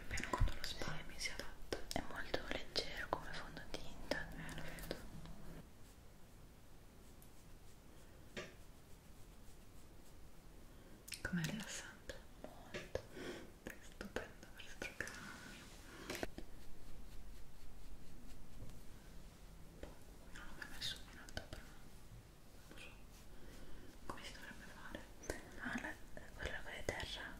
Almeno con lo spray mi si adatta. È molto leggero come fondotinta. Eh, lo vedo. Com'è rilassante? Molto. È stupendo per strocarmi. Non ho mai messo un altro però. Non so come si dovrebbe fare quale? Ah, la, quella con la terra.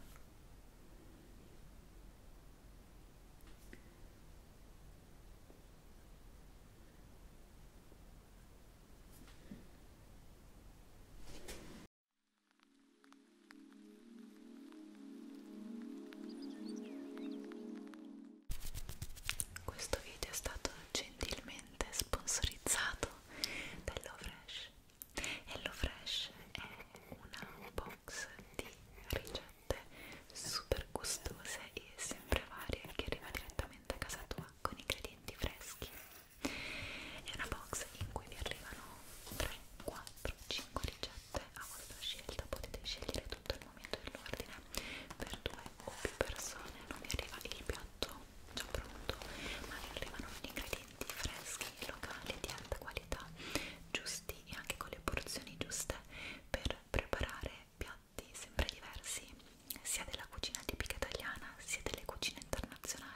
Questo video è stato gentilmente sponsorizzato dall'Ovresh HelloFresh è una box di ricette super gustose e sempre varie che arriva direttamente a casa tua con ingredienti freschi. È una box in cui vi arrivano 3, 4, 5 ricette a vostra scelta, potete scegliere tutto il momento dell'ordine per due o più persone, non vi arriva il piatto già pronto, ma vi arrivano gli ingredienti freschi, locali, di alta qualità, giusti e anche con le porzioni giuste per preparare piatti sempre diversi, sia della cucina tipica italiana sia delle cucine internazionali.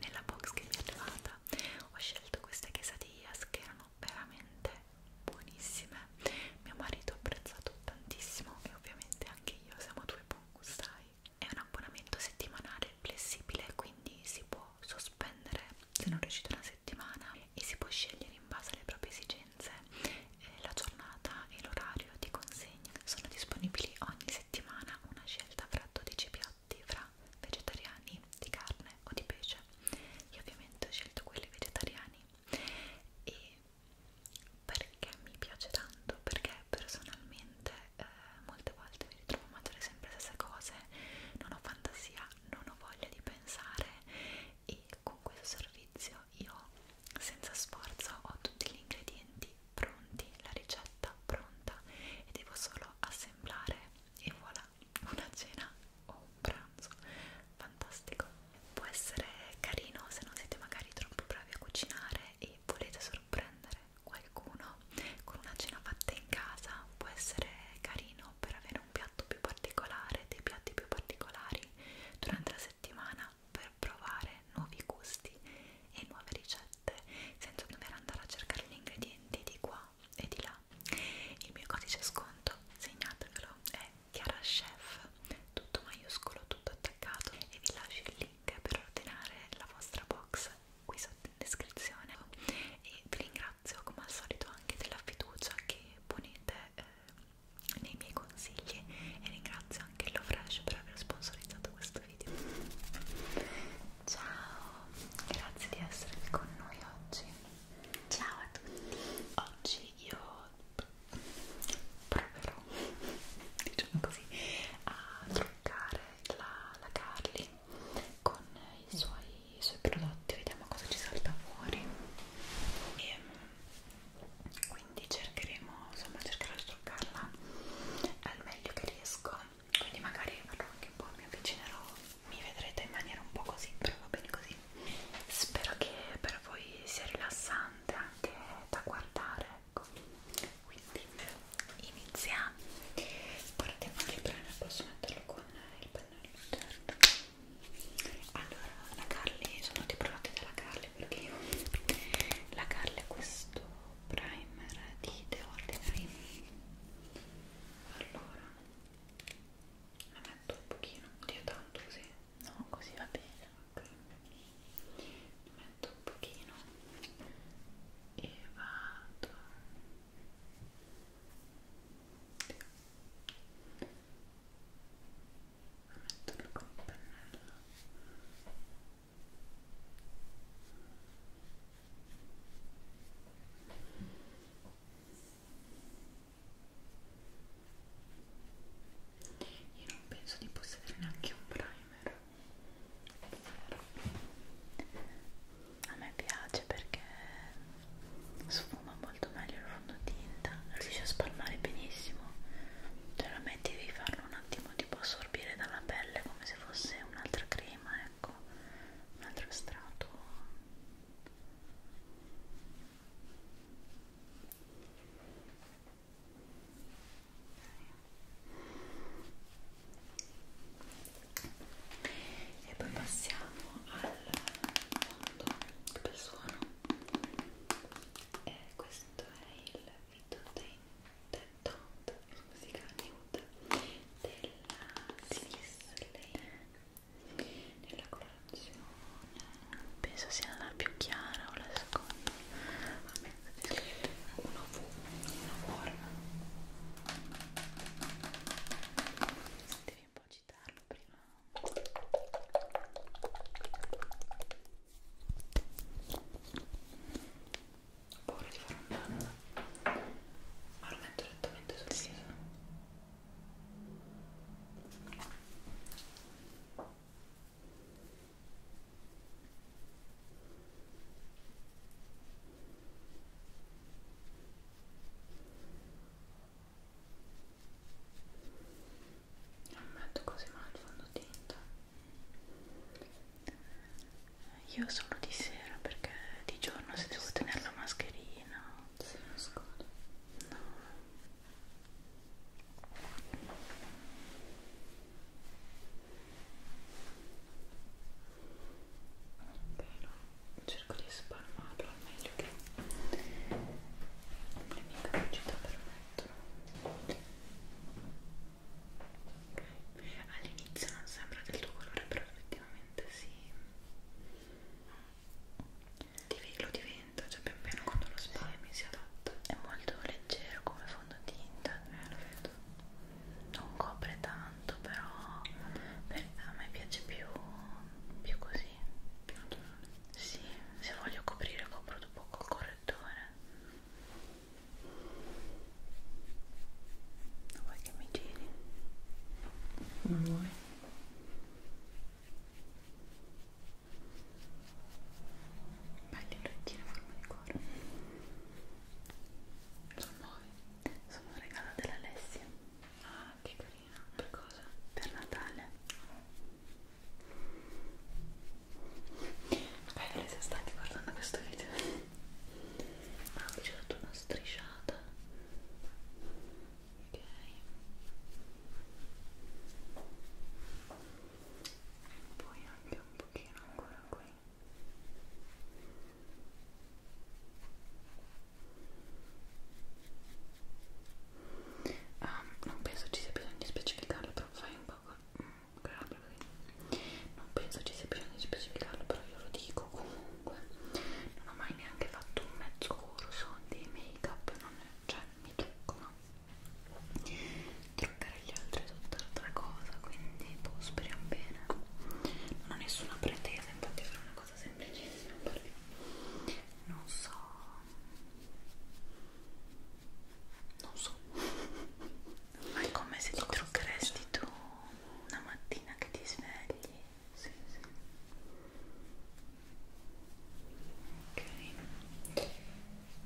nella box che mi è arrivata ho scelto queste quesadillas che erano veramente buonissime mio marito ha apprezzato tantissimo e ovviamente anche io siamo due buon gustai è un abbonamento settimanale flessibile quindi si può sospendere se non riuscite una settimana e si può scegliere in base alle proprie esigenze eh, la giornata e l'orario di consegna sono disponibili ogni settimana una scelta fra 12 piatti fra vegetariani di carne o di pesce. Io ovviamente ho scelto quelli vegetariani e perché mi piace tanto? Perché personalmente eh, molte volte mi ritrovo a mangiare sempre le stesse cose, non ho fantasia, non ho voglia di pensare e con questo servizio io senza sforzo ho tutti gli ingredienti pronti, la ricetta pronta e devo solo assemblare e voilà, una cena o un pranzo fantastico. Può essere carino se non siete magari troppo bravi a cucinare e volete sorprendere qualcuno con una cena fatta in casa, può essere carino per avere un piatto più particolare, dei piatti più particolari durante la settimana per provare nuovi gusti e nuove ricette ricette senza dover andare a cercare gli ingredienti di qua e di là. Il mio codice sconto, segnatevelo, è ChiaraChef, tutto maiuscolo, tutto attaccato e vi lascio il link per ordinare la vostra box qui sotto in descrizione e vi ringrazio come al solito anche della fiducia che ponete eh, nei miei consigli e ringrazio anche LoFresh per aver sponsorizzato questo questo video. Ciao, grazie di essere con noi oggi. Ciao a tutti. Oggi io proverò, diciamo così, a truccare la, la Carly con i suoi, i suoi prodotti, vediamo cosa ci salta fuori. E, ehm, quindi cercheremo, insomma cercherò di truccarla al meglio che riesco ecco quindi magari farò anche un po', mi avvicinerò mi vedrete in maniera un po' così però va bene così spero che per voi sia rilassante anche da guardare ecco quindi iniziamo guardate anche bene posso metterlo con il pennello certo allora la Carly sono dei prodotti della Carly perché io la Carly è questo primer di The Ordinary allora la metto un pochino, oddio tanto così no così va bene ok ne metto un pochino e vado metterlo con il pennello io non penso di possedere neanche un primer. A me piace perché sfuma molto meglio il fondotinta, riesce a spalmare benissimo. Cioè la metti devi farlo un attimo tipo assorbire dalla pelle come se se fosse un'altra crema ecco un altro strato e poi passiamo al fondo del suono e questo è il video dei Dead Don't musica nude della Sisley nella colorazione penso sia la più chiara o la seconda a me una V, una forma devi un po' citarlo prima ho paura di fare un danno ma lo metto lentamente sul viso non metto così male il fondotinta io solo di sera perché di giorno se devo tenere la mascherina. Sì, no. Però cerco di spalmarlo al meglio che le mie capacità permettono. Ok, all'inizio non sembra del tuo colore, però effettivamente sì. Lo diventa, cioè pian piano quando lo spalmi sì. si adatta. È molto leggero come fondotinta. Eh, lo vedo. Non copre tanto, però per, a me piace più, più così. Più naturale. Sì, se voglio coprire copro dopo col correttore. Non vuoi che mi giri? Non vuoi? Belli orecchini a forma di cuore. Sono nuovi. Sono un regalo dell'Alessia. Ah, che carina. Per cosa? Per Natale. Magari se state guardando questo video ma ah, ho dato una strisciata ok poi anche un pochino ancora qui Um, non penso ci sia bisogno di specificarlo, però fai un po' mm, grave così non penso ci sia bisogno di specificarlo però io lo dico comunque non ho mai neanche fatto un mezzo corso di make up non è, cioè mi trucco no truccare gli altri è tutt'altra cosa quindi boh, speriamo bene non ho nessuna pretesa infatti farò una cosa semplicissima perché non so non so ma è come se ti Cosa truccheresti tu una mattina che ti svegli. Sì, sì. Ok.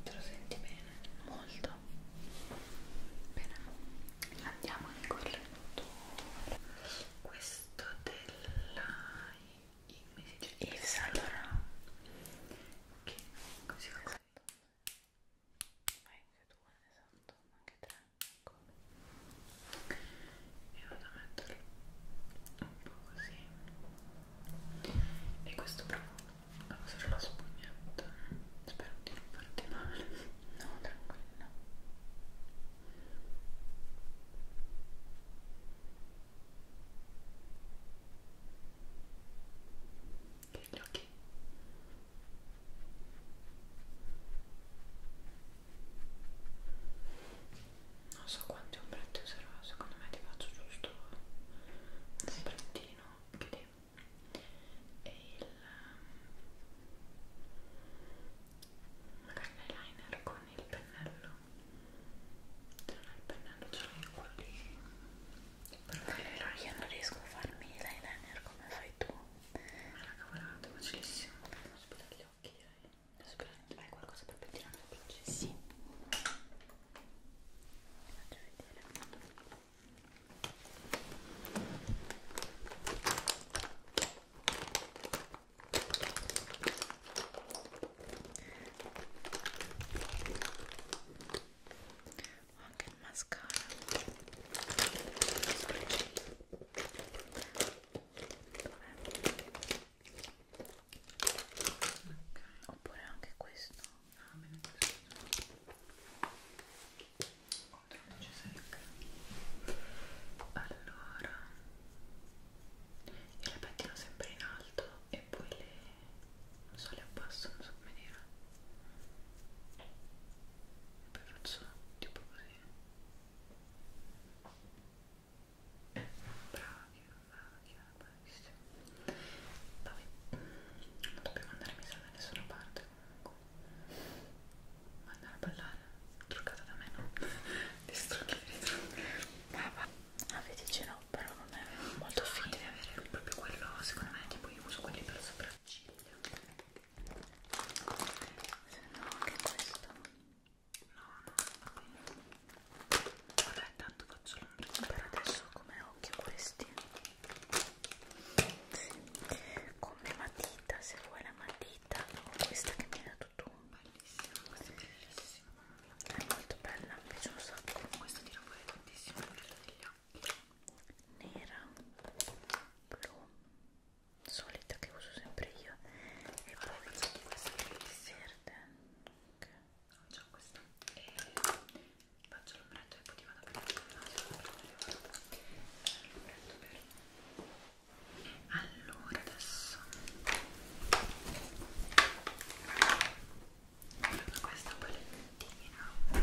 Te lo senti bene? Molto. Bene. Andiamo in correttore. Questo della Yves Saint Laurent. Che così esatto vai anche due esatto anche tre ancora ecco. e vado a metterlo un po' così e questo profumo lo userò la spugnetta spero di non farti male no tranquilla che gli occhi non so quanti ombretti userò secondo me ti faccio giusto un sì. ombrettino che e il magari ehm, l'eyeliner con il pennello se non hai il pennello ce l'hai quello lì però io non riesco a farmi l'eyeliner come fai tu. Ma la cavolata, facilissimo. Non sperare gli occhi, dai. Hai qualcosa per pettinare la processo? Sì. Ti faccio vedere ho anche il mascara okay. oppure anche questo ah bene questo controllo ci secca allora io le pettino sempre in alto e poi le non so le abbasso, non so come dire e poi faccio tipo così brava, chiara, bravissima vabbè, non dobbiamo andare messa da nessuna parte comunque ma andare a ballare, truccata da me no? distruggere Ah, vedi, ce l'ho, però non è molto fine. Deve avere proprio quello, secondo me, tipo io uso quelli per sopra sopracciglia se no anche questo no no va bene vabbè tanto faccio l'ombra per adesso come occhio questi come matita se vuoi la matita o questa che mi hai dato tu bellissima questa è bellissima è molto bella mi piace un sacco questa tira fuori tantissimo degli occhi nera blu solita che uso sempre io e poi questa che verde okay. ho già questa e faccio l'ombretto e poi ti vado a prendere l'ombretto per allora adesso questa palettina di Dior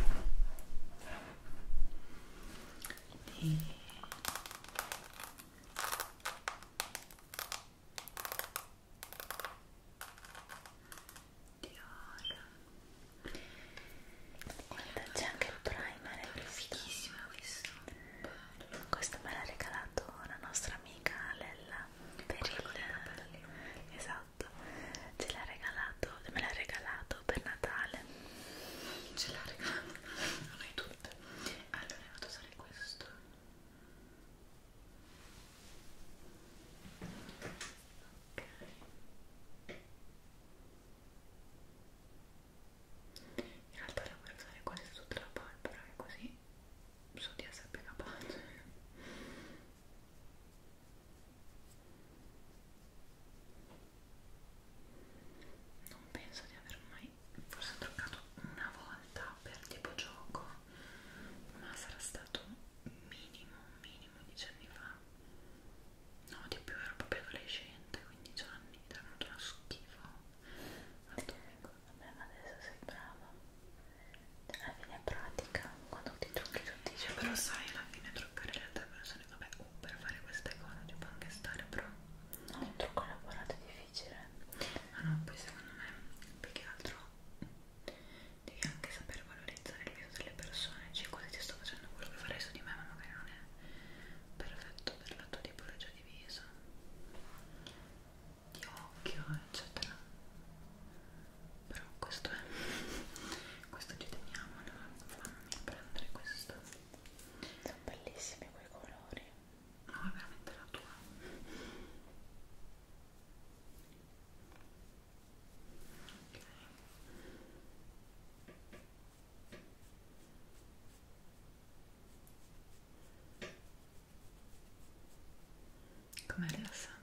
guarda c'è anche il primer è fighissimo questo questo me l'ha regalato la nostra amica Lella per il, per il esatto fatto ce l'ha regalato me l'ha regalato per Natale ce l'ha regalato non hai tutte allora è andato a usare questo ok in realtà la voglio usare quasi tutta la polvere così so di essere più capace non penso di aver mai forse ho truccato una volta per tipo gioco ma sarà stato minimo minimo 10 anni fa no di più ero proprio adolescente 15 anni è venuto uno schifo al domingo vabbè ma adesso sei brava alla fine pratica quando ti trucchi tutti dice però sai alla fine truccare le altre persone vabbè oh, per fare queste cose ci può anche stare però no un trucco elaborato è difficile ma no poi secondo me più che altro devi anche sapere valorizzare il viso delle persone cioè quasi ti sto facendo quello che farei su di me ma magari non è perfetto per la tua tipologia di viso di occhio eccetera però questo è questo ci teniamo allora fammi prendere questo sono bellissimi quei colori no è veramente la tua ok Com'è rilassante?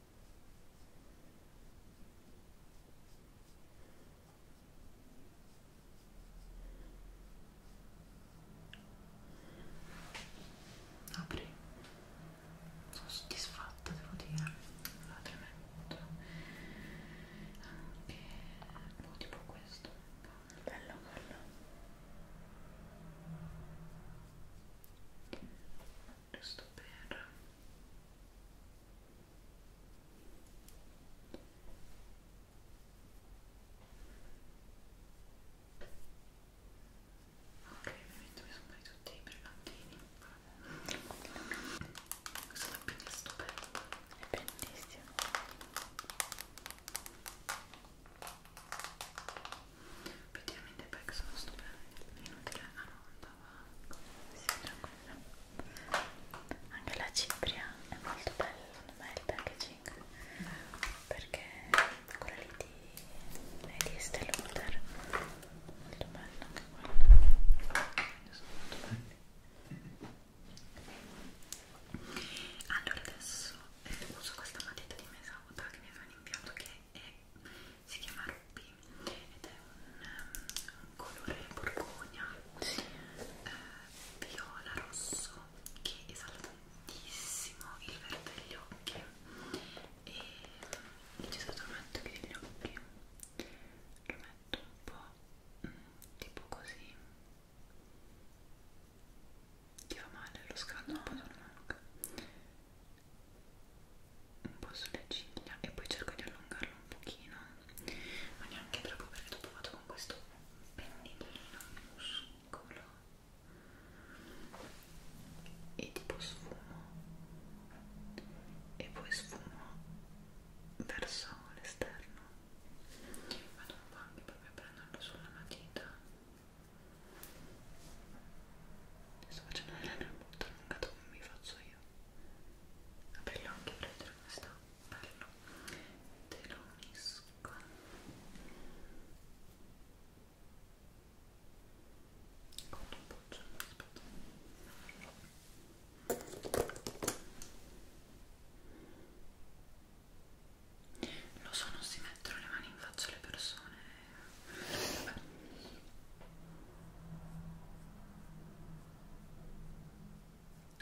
Apri. Sono soddisfatta, devo dire. Allora, tremendo. Anche boh, no, tipo questo. Bello quello. Giusto per Ok, ovviamente mi sono poi tutti i brillantini. Questa lampina è stupenda. È bellissima. Effettivamente perché sono stupenda. Inutile a non tobacco si tranquilla anche la cipria è molto bella secondo me il packaging perché quella lì di, è di Estée Lauder molto bella anche quella sono molto belli allora adesso eh, uso questa matita di Mesauta che mi avevano inviato che è si chiama Ruby ed è un, un um, colore borgogna eh, viola rosso che esalta tantissimo il verde degli occhi e il gesato lo metto qui degli occhi lo metto un po' mh, mm, tipo così ti fa male lo scaldo no. un po' sulla mano un po' sulle ciglia e poi cerco di allungarlo un pochino ma neanche troppo perché dopo vado con questo pennellino muscolo e tipo sfumo e poi sfumo verso l'esterno vado un po' anche proprio a prenderlo sulla matita sto facendo un molto allungato come mi faccio io apri gli occhi per vedere come sta bello te lo unisco con un poccio aspetta lo so non si mettono le mani in faccia alle persone Vabbè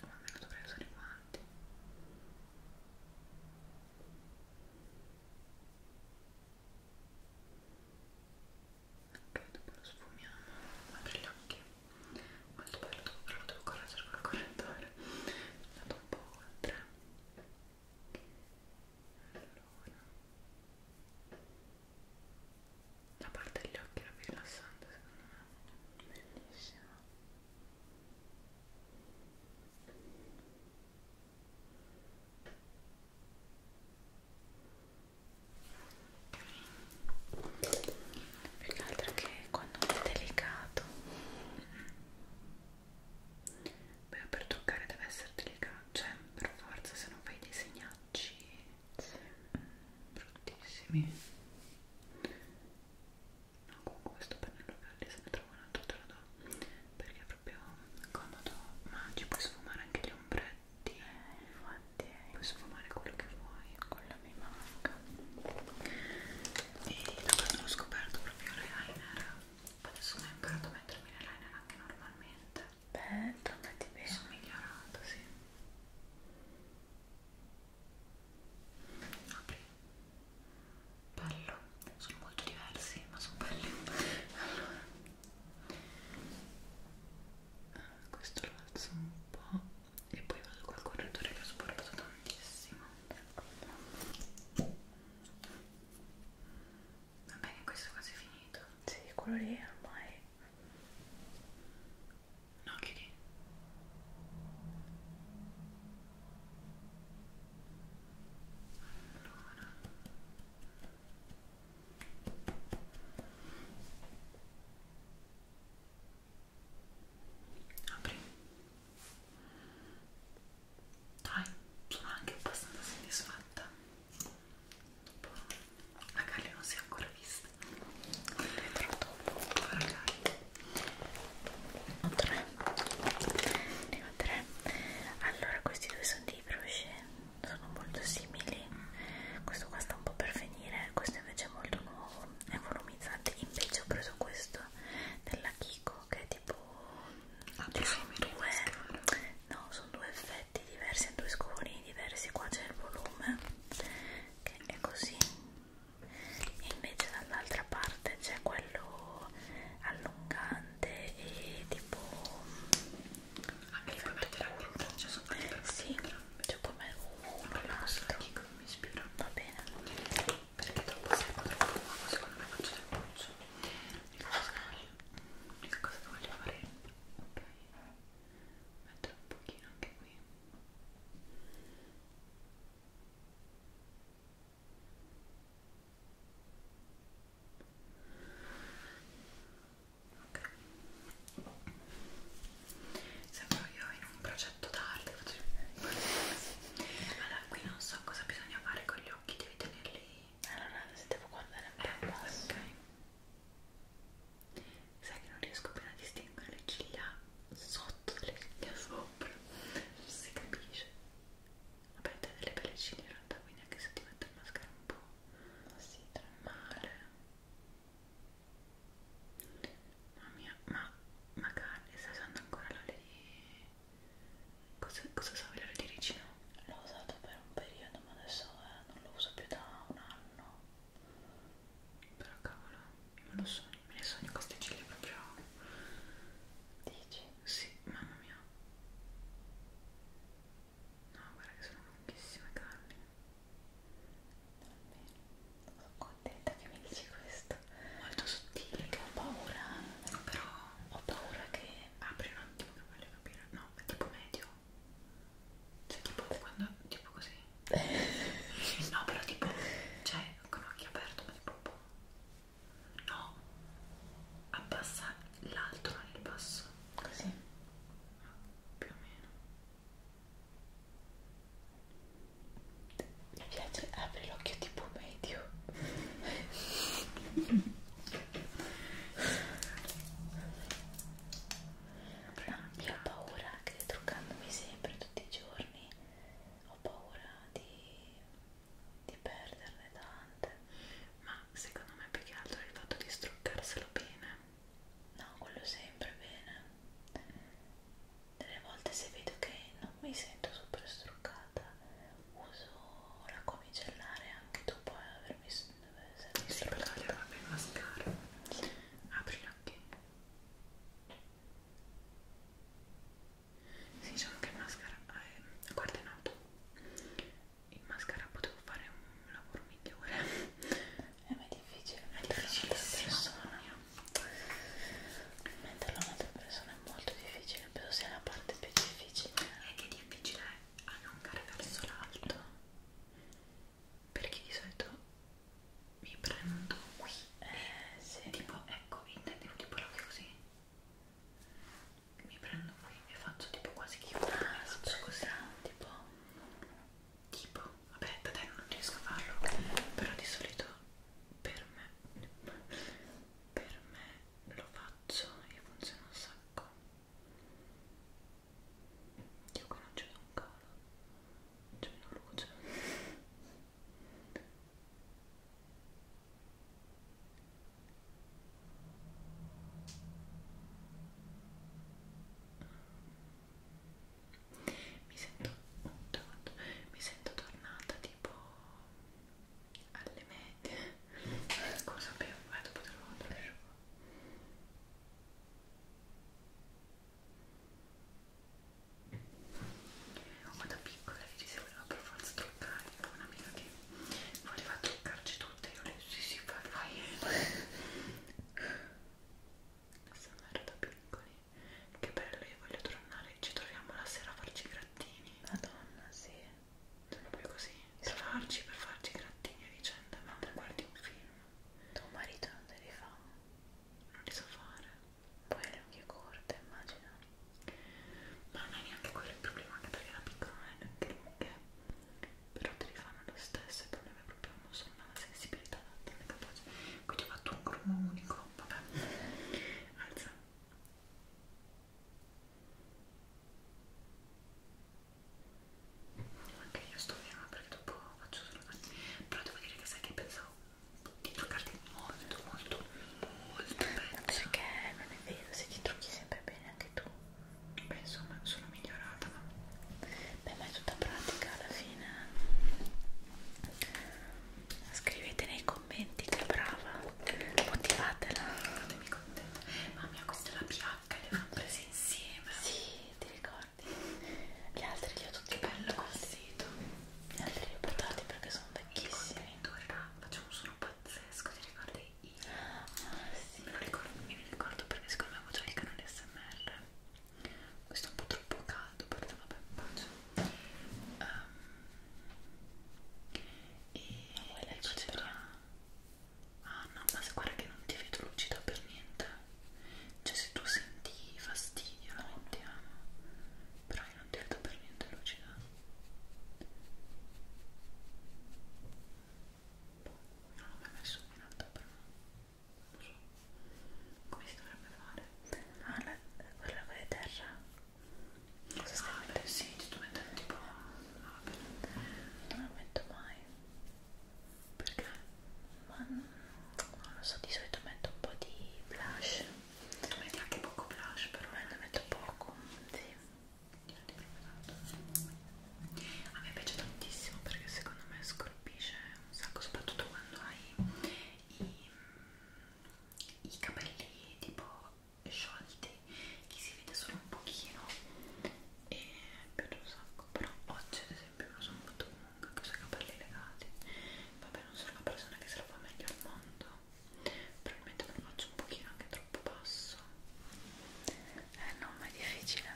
o almeno dovrei usare i guanti ok dopo lo sfumiamo apri gli occhi molto bello dopo però lo devo correggere col correttore andato un po' oltre allora la parte degli occhi era più rilassante secondo me bellissima più che altro che quando è delicato beh per toccare deve essere delicato cioè per forza se non fai dei segnali Maggio bruttissimi no comunque questo pennello verde se ne trovo un altro te lo do perché è proprio comodo Maggi puoi sfumare anche gli ombretti eh, infatti puoi sfumare quello che vuoi quello mi manca e da quando l'ho scoperto proprio l'eyeliner adesso ho imparato a mettermi l'eyeliner anche normalmente Aspetta, metti bene. Sono migliorato, sì. Apri. Bello. Sono molto diversi, ma sono belli. Allora. Ah, questo lo alzo un po' e poi vado col correttore che ho sporcato tantissimo. Va bene, questo è quasi finito. Sì, quello lì ormai No, chiudi. Allora. Apri. Dai, sono anche abbastanza soddisfatta magari non si è ancora vista vedrò dopo magari 3 ne ho 3 allora questi due sono dei brusci sono molto simili questo qua sta un po' per finire questo invece è molto nuovo è volumizzante invece ho preso questo della Kiko che è tipo ah, sono due no sono due effetti pacchetti diversi in due scovoni diversi qua c'è il volume che è così e invece dall'altra parte c'è quello allungante e tipo anche puoi mettere anche uno c'è sotto sì cioè puoi mettere uno l'altro mi ispira va bene perché dopo se troppo nuovo secondo me faccio del buccio l'unica cosa che voglio fare ok metterò un pochino anche qui ok sembro io in un progetto d'arte allora qui non so cosa bisogna fare con gli occhi devi tenerli allora eh, se devo guardare un po' eh, ok sai che non riesco bene a distinguere le ciglia sotto le ciglia sopra non si capisce vabbè te delle belle ciglia in realtà quindi anche se ti metto il mascara un po' così male mamma mia ma magari stai usando ancora l'olio di cosa, cosa so l'olio di ricino? l'ho usato per un periodo prendo ma adesso eh, non lo uso più da un anno però cavolo me lo sogno me ne sogno queste ciglia proprio dici? sì mamma mia no guarda che sono lunghissime carne sono contenta che mi dici questo molto sottile perché ho paura però ho paura che apri un attimo che voglio capire no è tipo medio cioè tipo quando, tipo così No però tipo, cioè con occhio aperto ma tipo boh. No, abbassa l'alto non il basso Così Più o meno mi piace, apri l'occhio tipo medio No, io ho paura che truccandomi sempre tutti i giorni ho paura di, di perderne tante. Ma secondo me più che altro è il fatto di struccarselo bene. No, quello sempre bene. Delle volte se vedo che non mi sento super struccata uso la comicellare anche dopo avermi dove si per tagliare la mia mascara. Aprila anche. Sì, diciamo che il mascara... Eh, guarda in alto. Il mascara potevo fare un lavoro migliore. Eh, ma è difficile. È difficilissimo. Metterlo a un'altra persona è molto difficile, penso sia la parte più difficile. È che difficile è allungare verso l'alto perché di solito mi prendo qui eh, sì. tipo ecco intendevo tipo la così mi prendo qui e faccio tipo quasi che io ah, faccio così tipo tipo vabbè dai non riesco a farlo però di solito per me per me lo faccio e funziona un sacco io qua non c'è un calo, c'è una luce. Mi sento tanto, mi sento tornata tipo alle medie. Scusa, beh, vado a poterlo asciugare. Ma da piccola ieri si voleva per forza truccare, un'amica che voleva truccarci tutte, io le sì sì fai fai Siamo da piccoli, che bello, io voglio tornare, ci troviamo la sera a farci i grattini Madonna, sì Proprio così, per farci, per farci i grattini a vicenda, ma guardi un film tuo marito non te li fa non li so fare poi le unghie corte immagino ma non è neanche quello il problema anche perché la piccola non è neanche lunghe però te li fanno lo stesso il problema è proprio non sono una sensibilità non è capace quindi ho fatto un grumo unico vabbè alza anche io sto bene perché dopo faccio solo così però devo dire che sai che pensavo di truccarti molto molto molto bene perché non è vero se ti trucchi sempre bene anche tu beh insomma sono migliorata ma beh ma è tutta pratica alla fine scrivete nei commenti che brava motivatela fatemi contenta mamma mia questa è la PH le fanno prese insieme sì ti ricordi? Gli altri li ho tutti bello col sito. Gli altri li ho portati perché sono vecchissimi. Facciamo un suono pazzesco, ti ricordi? Io. Ah, sì. Me lo ricordo, mi ricordo perché secondo me avevo già il canale SMR. Questo è un po' troppo caldo, però vabbè, pace. Um, e poi la cifra Ah no, ma guarda che non ti vedo lucida per niente. Cioè se tu senti fastidio la mettiamo. Però io non ti vedo per niente lucida. Boh, non l'ho mai messo in alto però. Non so. Come si dovrebbe fare? Ah, la, quella con la terra. Cosa stai ah, mettendo? Sì, sto mettendo tipo... Ah, vabbè. Non la metto mai perché ma non lo so di solito metto un po' di blush tu metti anche poco blush però me eh, ne metto poco sì a me piace tantissimo perché secondo me scolpisce un sacco soprattutto quando hai i, i capelli tipo sciolti che si vede solo un pochino e mi piace un sacco però oggi ad esempio me lo sono fatto comunque che ho i capelli legati vabbè non sono la persona che se lo fa meglio al mondo probabilmente me lo faccio un pochino anche troppo basso eh no ma è difficile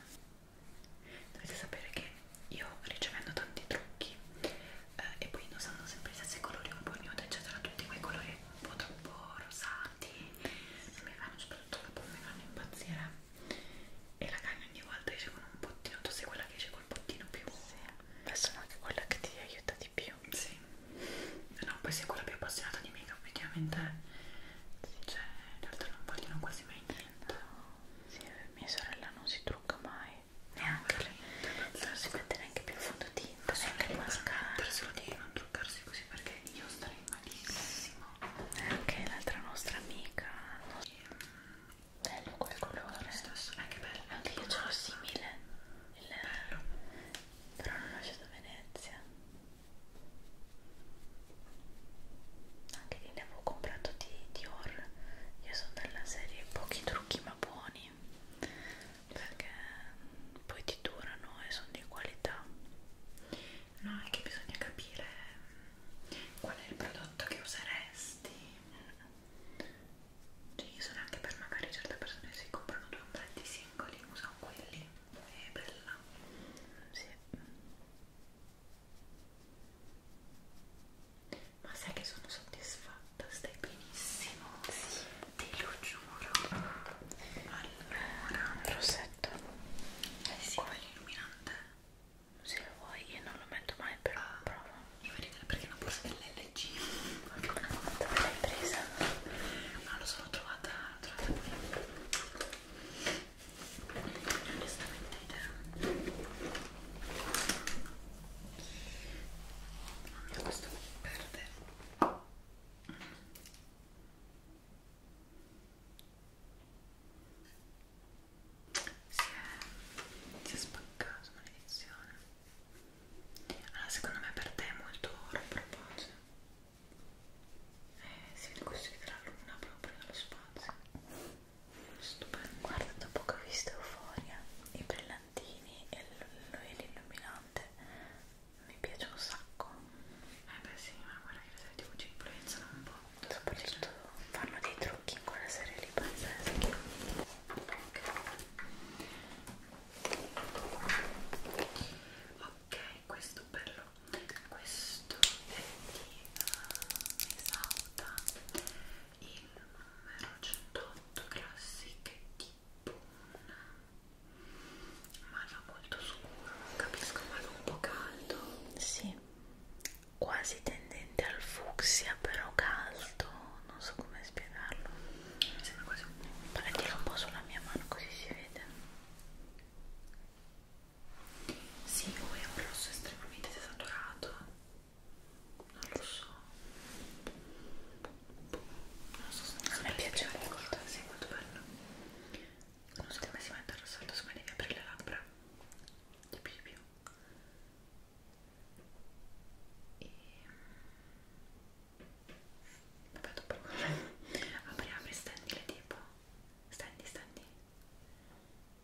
dovete sapere che io ricevendo tanti trucchi eh, e poi indossando sempre gli stessi colori un po' nude eccetera tutti quei colori un po' troppo rosati mi fanno soprattutto che poi mi fanno impazzire e la carne ogni volta esce con un bottino tu sei quella che esce col bottino più sì. ma sono anche quella che ti aiuta di più sì no poi sei quella più appassionata di make up effettivamente sì. cioè in realtà non vogliono quasi mai niente no. sì, eh, mia sorella non si trucca mai neanche no, le... non si mette neanche più fondotinta neanche il mascara solo di non truccarsi così perché io starei malissimo anche l'altra nostra amica no? bello quel colore lo stesso eh, anche bello anche io ce l'ho simile il... bello però non ho scelto Venezia anche lì ne avevo comprato di Dior io sono della serie pochi trucchi ma buoni perché mm, poi ti durano e sono di qualità No, è che bisogna capire mm, qual è il prodotto che useresti. Cioè, io sono anche per magari certe persone si comprano due ombretti singoli, usano quelli. È bella. Sì. Ma sai che sono soddisfatta, stai benissimo. Sì. Te lo giuro. Allora, rosetto perfetto eh sì, vuoi l'illuminante? se lo vuoi, io non lo metto mai però ah, provo io vedo perché è una borsa dell'LG dove l'hai presa? no, ah, lo sono trovata, trovata qui onestamente idea non questo perde si è, si è spaccato maledizione allora secondo me per te è molto oro proposo eh, si vede questo che la luna proprio nello spazio stupendo guarda dopo che ho visto Euforia i brillantini e l'illuminante mi piace un sacco eh beh sì, ma guarda che le serie TV ci influenzano un po'. Soprattutto fanno dei trucchi in quella serie lì pazzeschi. Ok. Ok, questo bello. Questo è di uh, eh, Esauta il numero 108 classiche di Boon ma no molto scuro, non capisco, ma non un po' caldo. Sì, quasi tendente al fucsia, però caldo, non so come spiegarlo. Mi sembra quasi un po'. Prendilo un po' sulla mia mano così si vede. Sì, o oh, è un rosso estremamente desaturato. Non lo so. Non so se non a me piace molto, sì, molto bello non so come si mette il rossetto, siccome devi aprire le labbra di più di più e mm, vabbè dopo apri apri stendi le tipo stendi stendi ok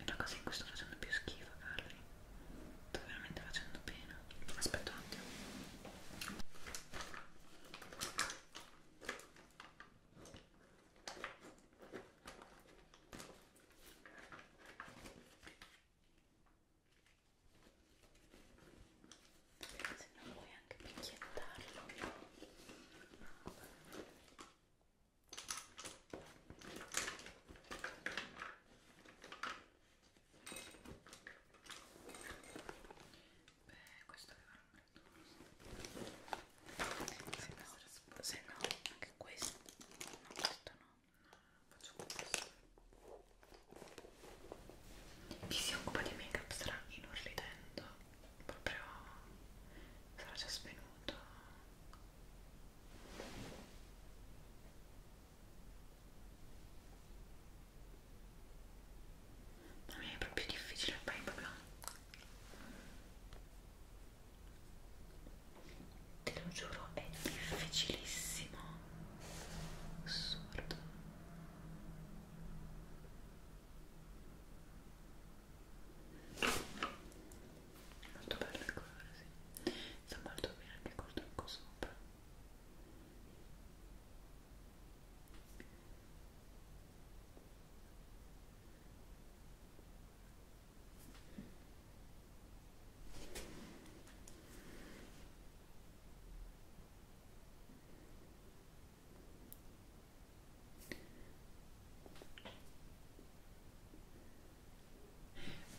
è la cosa in cui sto facendo più schifo Carli sto veramente facendo pena aspetta un attimo se non vuoi anche picchiettarlo Beh, questo aveva un brutto se, no, se no, anche questo no, questo no, faccio questo chi si occupa di make up sarà inorridendo proprio sarà già svenuto ma mi è proprio difficile poi proprio te lo giuro è difficilissimo assurdo molto bello il colore, sì sta molto bene anche col trucco sopra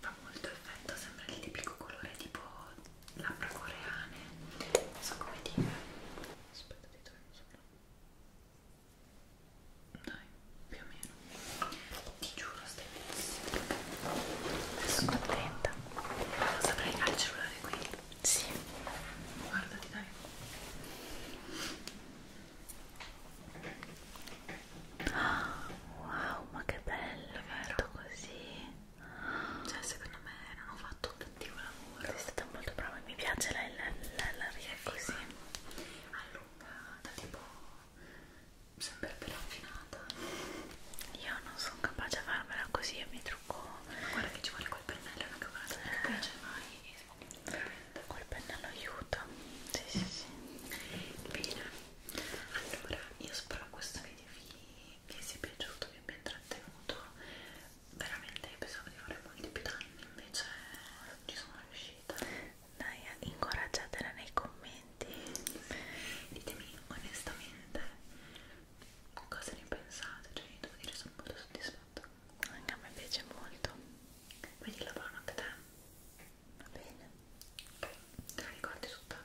fa molto effetto, sembra il tipico colore tipo labbra coreane, non so come dire. Aspetta di torno sopra. Dai, più o meno. Ti giuro, stai benissimo. Sono contenta. Non saprei fare il cellulare qui. Sì. Guardati, dai. Wow, ma che bello, vero? Così, cioè, secondo me non ho fatto un cattivo lavoro. Sei stata molto brava. Mi piace la, la, la, la via così allungata, tipo sempre raffinata. Io non sono capace a farmela così e mi trucco. Ma guarda, che ci vuole quel pennello, una camerata eh. che piace mai meccanismo col pennello aiuta sì sì sì bene allora io spero questo video vi, vi sia piaciuto vi abbia intrattenuto veramente pensavo di fare molti più danni invece ci sono riuscita dai incoraggiatela nei commenti ditemi onestamente cosa ne pensate cioè io devo dire sono molto soddisfatta anche a me piace molto quindi lo provo anche a te va bene ok te la ricordi tutta?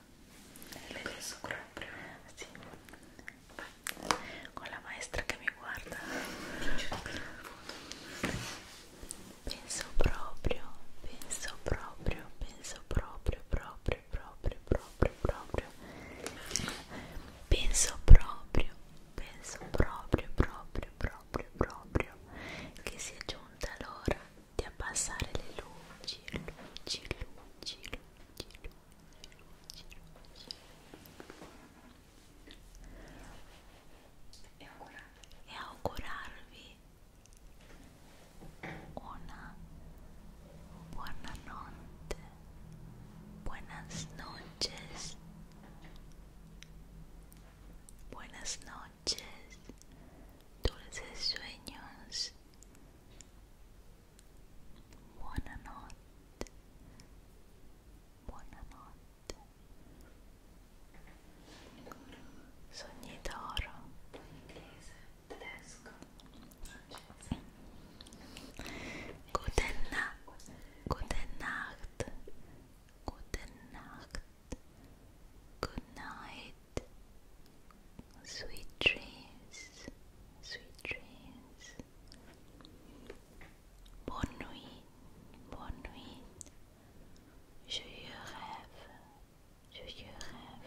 Eh, lo penso proprio sì vai con la maestra che mi guarda penso proprio penso proprio penso proprio proprio proprio proprio proprio penso proprio penso proprio, proprio, proprio, proprio che sia giunta l'ora di abbassare le luci, luci, luci, luci, luci, luci, luci. E, augurarvi. e augurarvi una buona notte, buenas noches buenas noches, dulces sueños, buena noche, buena noche, sogni d'oro, inglese, tedesco, Guten Nacht, Guten Nacht, Gute Nacht, good night, sweet dreams, sweet dreams. Bonne nuit, bonne nuit. Je rêve, je rêve.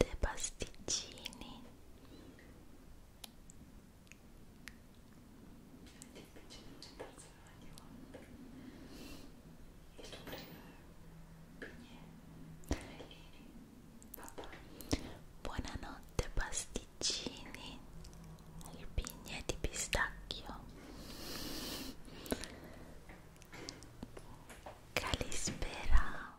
latte, pasticcini è difficile accettarsela ogni volta e tu prima papà buonanotte pasticcini il pigne di pistacchio calispera